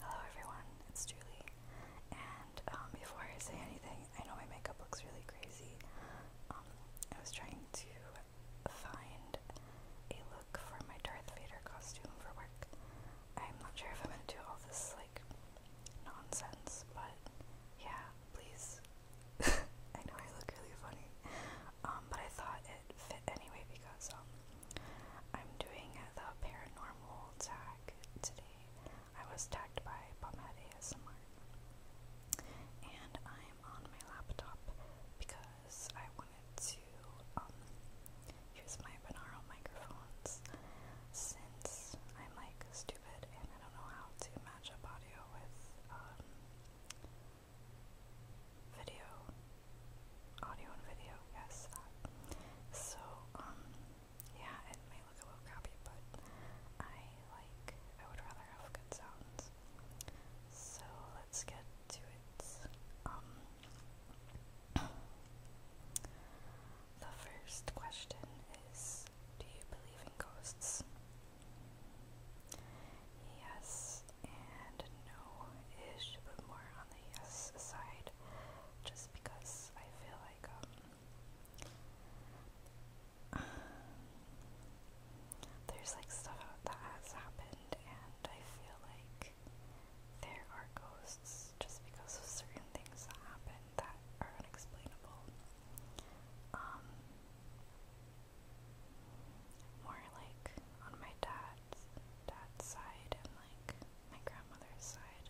Hello everyone, it's Julie, and um, before I say anything, I know my makeup looks really crazy. Um, I was trying to find a look for my Darth Vader costume for work. I'm not sure if I'm gonna do all this like nonsense, but yeah, please. I know I look really funny, um, but I thought anyway because um I'm doing the paranormal tag today. I was tagged by Pomhead ASMR. And I'm on my laptop because I wanted to um use my binaural microphones since I'm like stupid and I don't know how to match up audio with um video audio and video, yes, So, um, yeah, it may look a little crappy, but I like, I would rather have good sounds. So, let's get to it. Um, the first question is Do you believe in ghosts? Yes and no ish, but more on the yes uh, side just because I feel like um there's like stuff that has happened and I feel like there are ghosts just because of certain things that happen that are unexplainable. Um more like on my dad's dad's side and like my grandmother's side,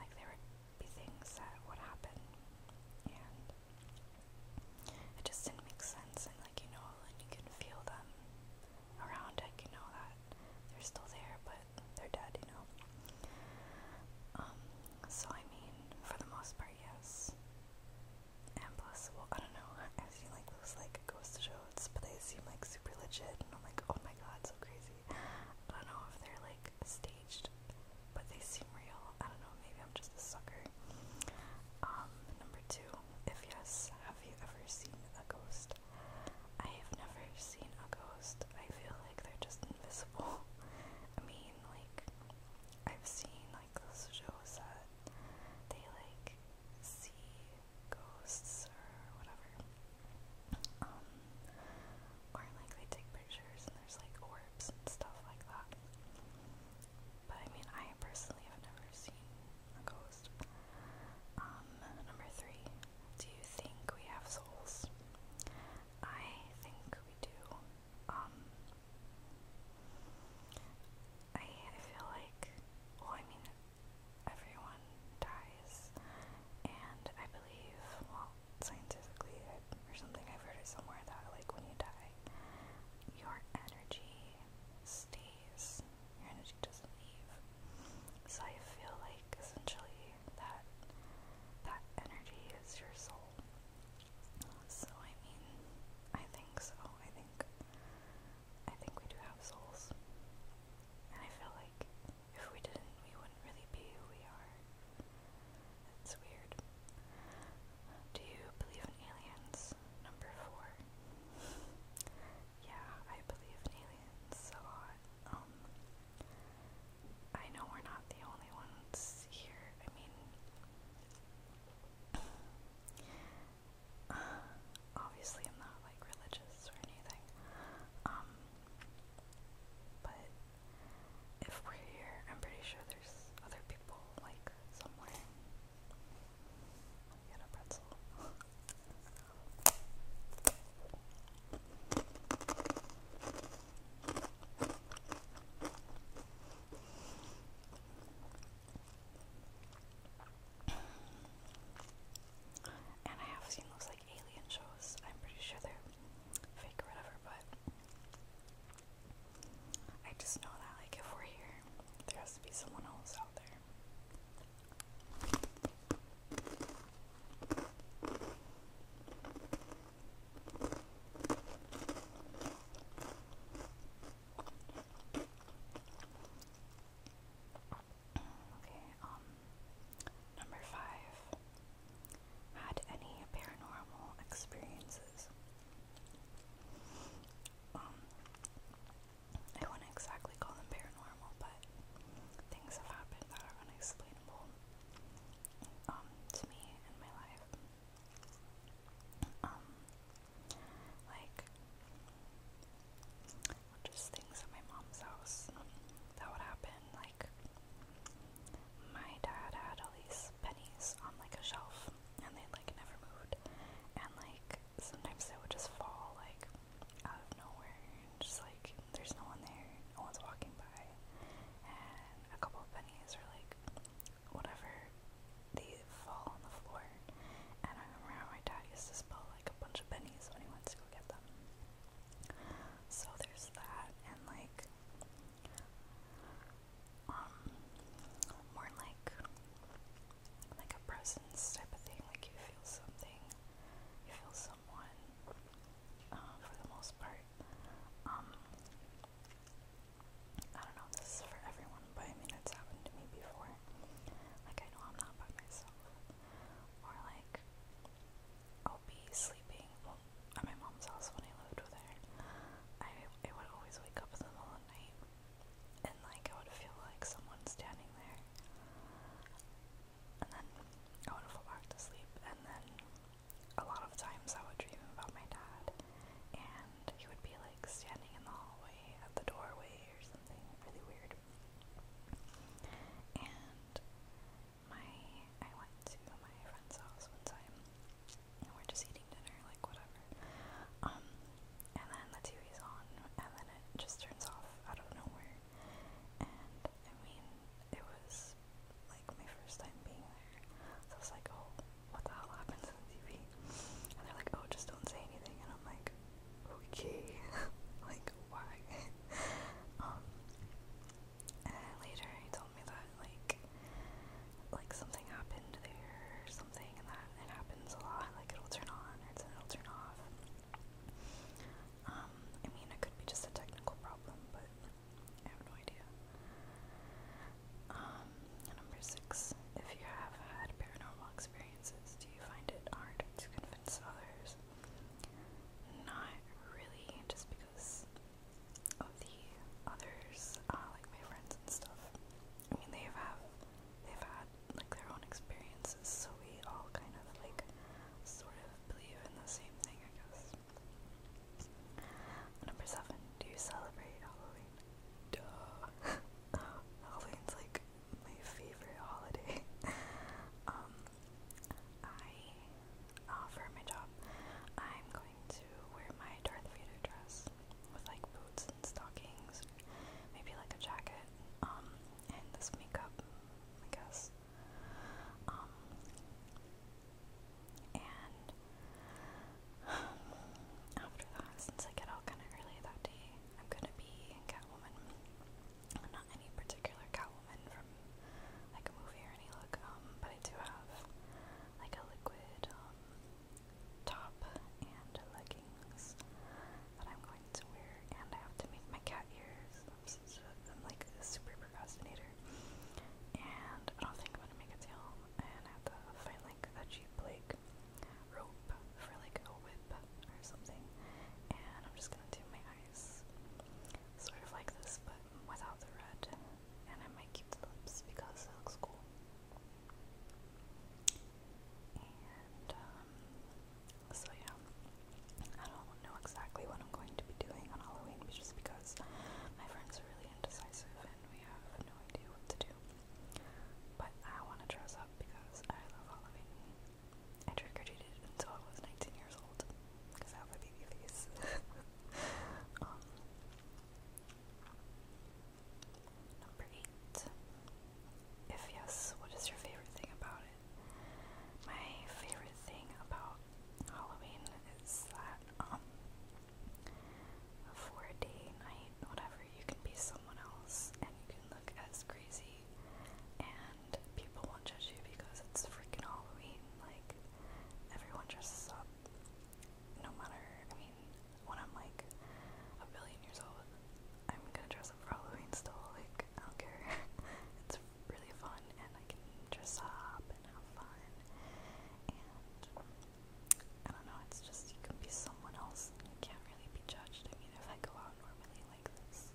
like there would be things that would happen, and it just didn't make sense. And like you know, and you can feel them around. Like you know that they're still there, but they're dead. You know. Um. So I mean, for the most part, yes. And plus, well, I don't know. I feel like it was like it goes to show notes, but they seem like super legit, and I'm like, oh my god, so crazy. I don't know if they're like staged, but they seem real. I don't know, maybe I'm just a sucker. Um, number two, if yes, have you ever seen a ghost? I have never seen a ghost. I feel like they're just invisible. I mean, like, I've seen like those shows that they like see ghosts or whatever. or like they take pictures and there's like orbs and stuff like that. But I mean, I personally have never seen a ghost. Um, number three, do you think we have souls? I think we do. Um, I I feel like, well, I mean, everyone dies, and I believe, well, scientifically or something, I've heard somewhere that, like, when you die, your energy stays, your energy doesn't leave. So I feel like essentially that that energy is your soul. So I mean, I think so. I think I think we do have souls. And I feel like if we didn't, we wouldn't really be who we are. It's weird. Do you believe in aliens? Number four. yeah, I believe in aliens a lot. Um, I know we're not the only ones here. I mean, uh, obviously, I'm not like religious or anything. Um, but if we're here, I'm pretty sure there's other people like somewhere. Get a pretzel. And I have seen those like alien shows. I'm pretty sure they're fake or whatever, but I just know that like if we're here, there has to be someone else out there. Okay, um, number five. Had any paranormal experiences? Um, I wouldn't exactly call them paranormal, but things have happened that are unexplainable um, to me in my life. Um, like, just things at my mom's house that would happen. Like, my dad had all these pennies on like a shelf, and they like never moved. And like sometimes they would just fall like out of nowhere, and just like there's no one there, no one's walking by, and a couple of pennies or like whatever they fall on the floor. And I remember how my dad used to spill like a bunch of pennies when he went to go get them. So there's that, and like, um, more like, like a presence type of thing. Like you feel something, you feel someone, uh, for the most part. Um, I don't know. This is for everyone, but I mean, it's happened to me before. Like, I know I'm not by myself. Or, like, I'll be sleeping well, my mom's house when I lived with her. I, I would always wake up in the middle of the night and, like, I would feel like someone's standing there. And then I would fall back to sleep. And then a lot of times I would dream about my dad, and he would be, like, standing in the hallway at the doorway or something really weird. And my I went to my friend's house one time and we're just eating dinner, like whatever. Um, and then the TV's on and then it just turns off out of nowhere. And I mean it was like my first time being there. So I was like, Oh, what the hell happened to the TV? And they're like, Oh, just don't say anything and I'm like, Okay like why. um, and later he told me that like like something happened there or something, and that it happens a lot. Like it'll turn on or it'll turn off. Um, I mean, it could be just a technical problem, but I have no idea. Um, number six. If you have had paranormal experiences, do you find it hard to convince others? Not really, just because of the others, uh, like my friends and stuff. I mean, they've have they've had like their own experiences, so we all kind of like sort of believe in the same thing, I guess. Number seven, do you celebrate Halloween? Duh. Halloween's like my favorite holiday. um, I, uh, my job, I'm going to wear my Darth Vader dress with like boots and stockings, maybe like a jacket, um, and this makeup, I guess. Um, and after that, since I get out kind of early that day, I'm gonna be Catwoman. Not any particular Catwoman and from like a movie or any look. Um, but I do have like a liquid um, top and leggings that I'm going to wear, and I have to make my cat ears. I'm, so, I'm like a super procrastinator, and I don't think I'm gonna make a tail. And I have to find like a cheap like rope for like a whip lip or something. And I'm just gonna do my eyes sort of like this, but without the red. And I might keep the lips because it looks cool. And, um, so yeah. I don't know exactly what I'm going to be doing on Halloween just because my friends are really indecisive and we have no idea what to do. But I want to dress up because I love Halloween I trick-or-treated until I was 19 years old, because I have a baby face. um, number 8. If yes, what is your favorite thing about it? My favorite thing about Halloween is that, um, for a day, night, whatever, you can be someone else and you can look as crazy movie, and people won't judge you because it's freaking Halloween. Like, everyone dresses up. No matter, I mean, when I'm like a billion years old, I'm gonna dress up for Halloween still. Like, I don't care. it's really fun, and I can dress up and have fun. And I don't know, it's just you can be someone else and you can't really be judged. I mean, if I go out normally, like this.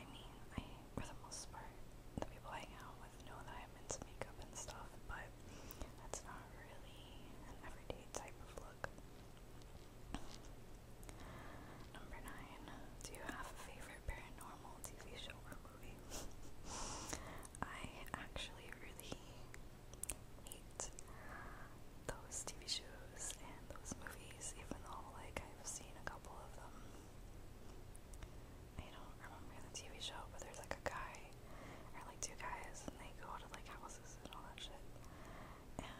I mean, I, for the most part, the people I hang out with know that I'm into makeup and stuff, but that's not really an everyday type of look. Number nine, do you have a favorite paranormal TV show or movie? I actually really hate those TV shows and those movies, even though like I've seen a couple of them. I don't remember the TV show, but there's like a guy or like two guys and they go to like houses and all that shit. And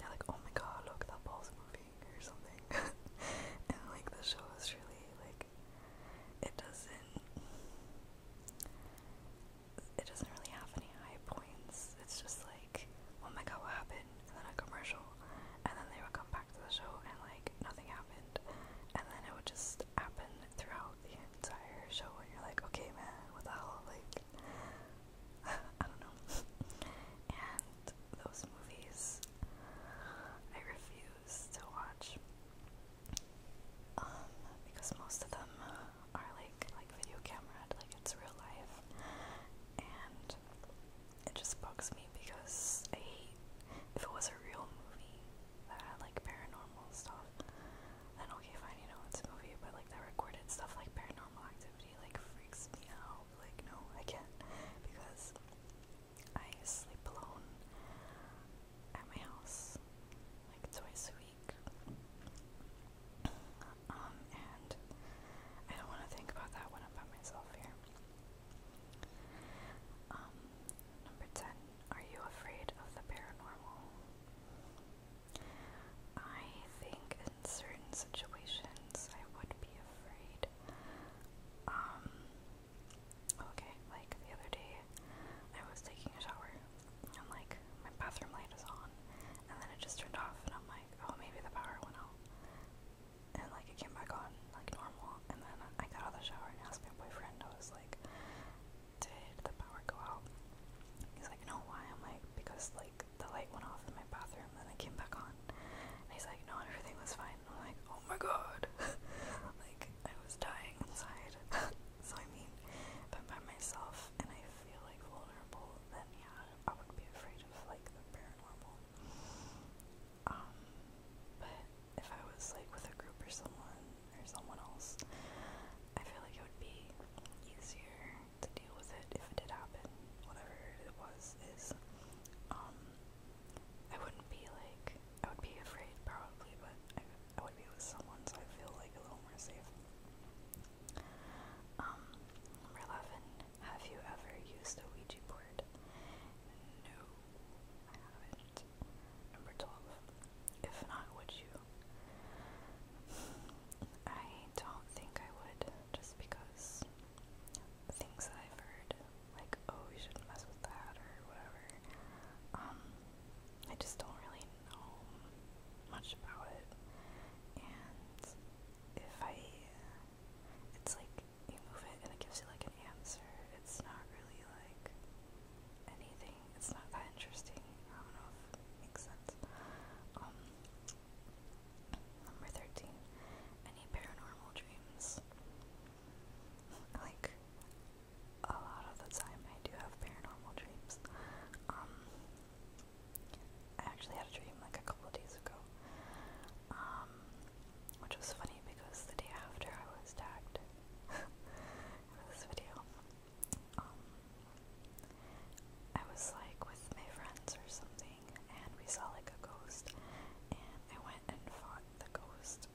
they're like, oh my god, look, that ball's moving or something. and like the show is really like it doesn't it doesn't really have any high points. It's just like, oh my god, what happened? and then a commercial, and then they would come back to the show and like nothing happened, and then it would just happen throughout the entire show, and you're like, okay, man, what the hell, like, I don't know. and those movies, I refuse to watch. Um, because most of them are like like video camera, like it's real life, and it just bugs me because I hate if it was a real movie that had like paranormal stuff, then okay fine, you know it's a movie, but like that recorded stuff like paranormal activity like freaks me out. Like no, I can't because I sleep alone at my house like twice a week. Um and I don't want to think about that when I'm by myself here. Um, number 10. Are you afraid of the paranormal? I think in certain situations I would be afraid. Um, okay, like the other day I was taking a shower and like my bathroom light is on and then it just turned off and I'm like, oh, maybe the power went out and like it came back on like normal. And then I got out of the shower and asked my boyfriend. I was like, "Did the power go out?" He's like, "No, why?" I'm like, "Because like the light went off in my bathroom, and then it came back on." And he's like, "No, everything was fine." And I'm like, "Oh my god!" like I was dying inside. so I mean, if I'm by myself and I feel like vulnerable, then yeah, I would be afraid of like the paranormal. Um, but if I was like with a group or someone or someone else, I feel like it would be easier to deal with it if it did happen. Whatever it was is, um, I wouldn't be like I would be afraid probably, but I, I would be with someone, so I feel like a little more safe. Um, number eleven, have you ever used a Ouija board? No, I haven't. Number 12. If not, would you? I don't think I would, just because things I've heard, like, oh, you shouldn't mess with that or whatever, um, I just don't really know much about it. And if I, it's like, you move it and it gives you like an answer. It's not really like anything. It's not that interesting. I don't know if it um, number thirteen. Any paranormal dreams? Like a lot of the time, I do have paranormal dreams. Um, I actually had a dream like a couple of days ago. Um, which was funny because the day after I was tagged in this video. Um, I was like with my friends or something and we saw like a ghost and I went and fought the ghost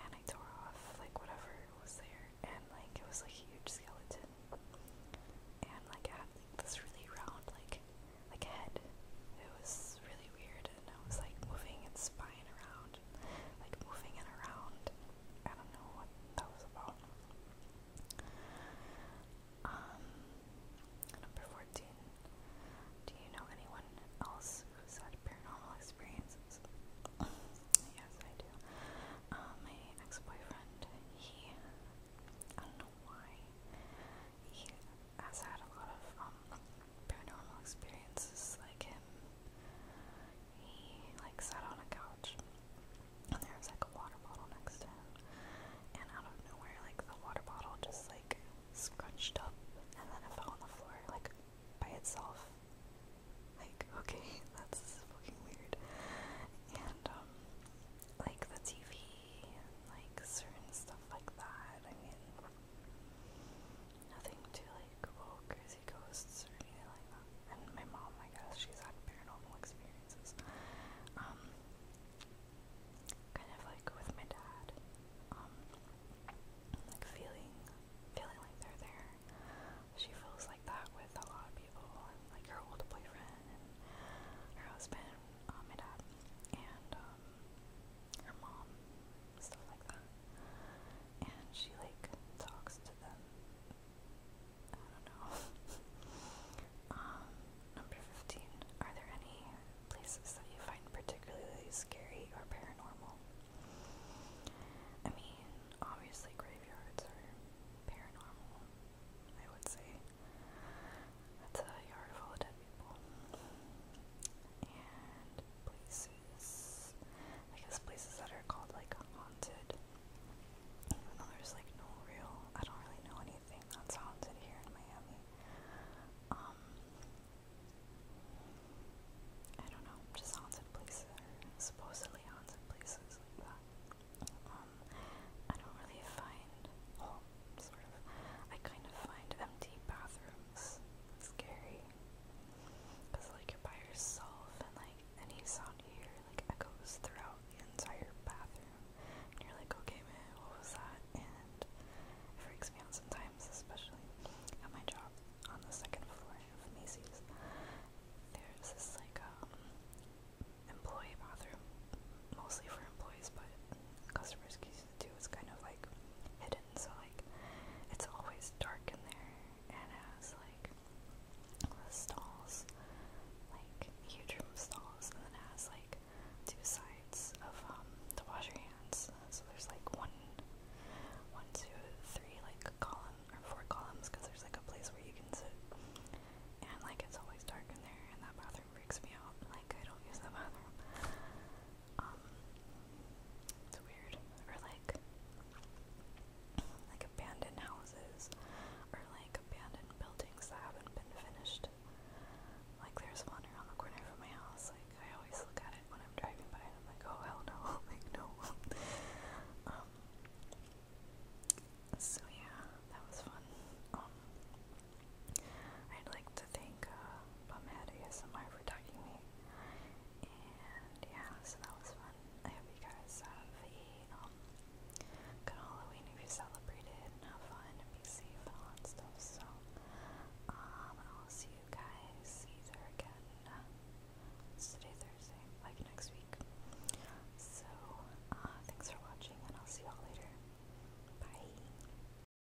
and I tore off like whatever was there and like it was like a huge skeleton and like I had like this really round like like head. It was really weird, and I was like moving its spine around, like moving it around. I don't know what that was about. Um, number 14. Do you know anyone else who's had paranormal experiences? yes, I do. Uh, my ex boyfriend, he, I don't know why, he has had a lot of um, paranormal experiences like him. He like sat on a couch and there was like a water bottle next to him and out of nowhere like the water bottle just like scrunched up and then it fell on the floor like by itself. Like, okay, that's fucking weird. And um like the TV like certain stuff like that. I mean, nothing too like oh, crazy ghosts or anything like that. And my mom, I guess, she's had paranormal experiences. Um, kind of like with my dad, um, like feeling, feeling like they're there. She feels like that with a lot of people, and like her old boyfriend and her husband, um, my dad, and um, her mom, stuff like that. And she like talks to them. I don't know. um, number fifteen. Are there any places that you find particularly scary or paranormal? I mean, obviously graveyards are paranormal, I would say. That's a yard full of dead people. And places. I guess places that are called like haunted. Even though there's like no real. I don't really know anything that's haunted here in Miami. Um. I don't know. Just haunted places. supposedly haunted places like Um. I don't really find sort of. I kind of find empty bathrooms scary. Because, like, you're by yourself, and, like, any sound you hear, like, echoes throughout the entire bathroom. And you're like, okay, man, what was that? And it freaks me out sometimes, especially at my job on the second floor of Macy's. There's this, like, um, employee bathroom, mostly for employees, but customers can too is kind of like hidden, so like it's always dark in there, and it has like the stalls, like huge room stalls, and then it has like two sides of um to wash your hands. So there's like one, one, two, three, like column or four columns, because there's like a place where you can sit. And like it's always dark in there, and that bathroom freaks me out. Like I don't use that bathroom. Um, it's weird. Or like, like abandoned houses, or like abandoned buildings that haven't been finished. Like there's one around the corner from my house. Like I always look at it when I'm driving by, I'm like, oh hell no, like no. Um, so yeah, that was fun. Um, I'd like to thank uh, Bumhead ASMR for tagging me. And yeah, so that was fun. I hope you guys have a um, good Halloween if you celebrated and fun be safe all that stuff. So um, I'll see you guys either again. Uh, today, Thursday, like next week. So, uh, thanks for watching, and I'll see y'all later. Bye.